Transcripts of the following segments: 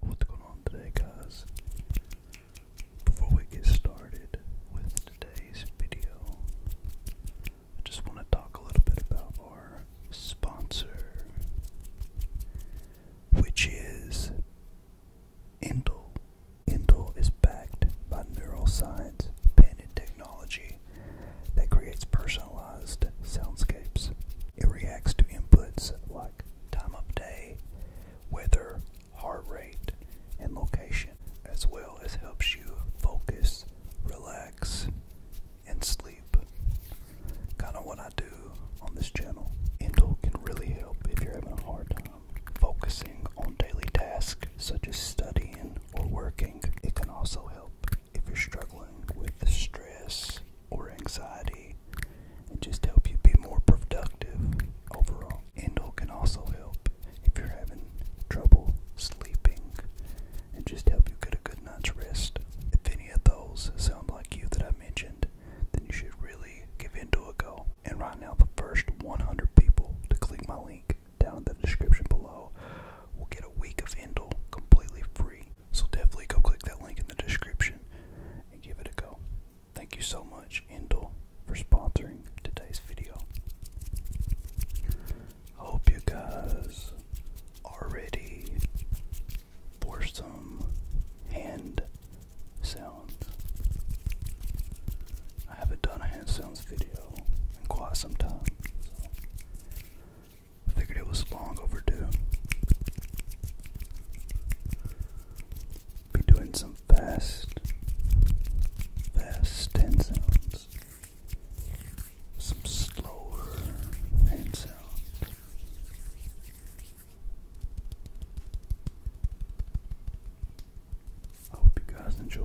What's going on today, guys? Before we get started with today's video, I just want to talk a little bit about our sponsor, which is Intel. Intel is backed by Neural neuroscience, patented technology that creates personalized soundscapes it reacts to inputs like time of day, weather, heart rate, and location, as well as helps you focus, relax, and sleep. Kind of what I do on this channel. Endo can really help if you're having a hard time focusing on daily tasks such as studying or working. It can also help if you're struggling with stress, or anxiety and just help you be more productive overall. Endo can also help if you're having trouble sleeping and just help you get a good night's rest. If any of those sound like you that I mentioned, then you should really give Endel a go. And right now, the first 100 people to click my link down in the description below will get a week of Endo completely free. So definitely go click that link in the description and give it a go. Thank you so much, Endel, for sponsoring today's video. I hope you guys are ready for some hand sounds. I haven't done a hand sounds video in quite some time, I figured it was long overdue. Be doing some fast, fast hand some slower hand I hope you guys enjoy.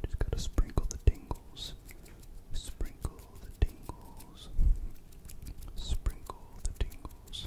Just gotta sprinkle the tingles, sprinkle the tingles sprinkle the tingles.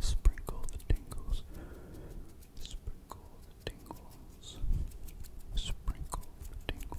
Sprinkle the tingles, sprinkle tingles, sprinkle tingles.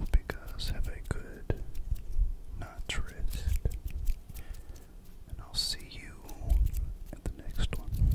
Oh, because have a good night's rest, and I'll see you at the next one.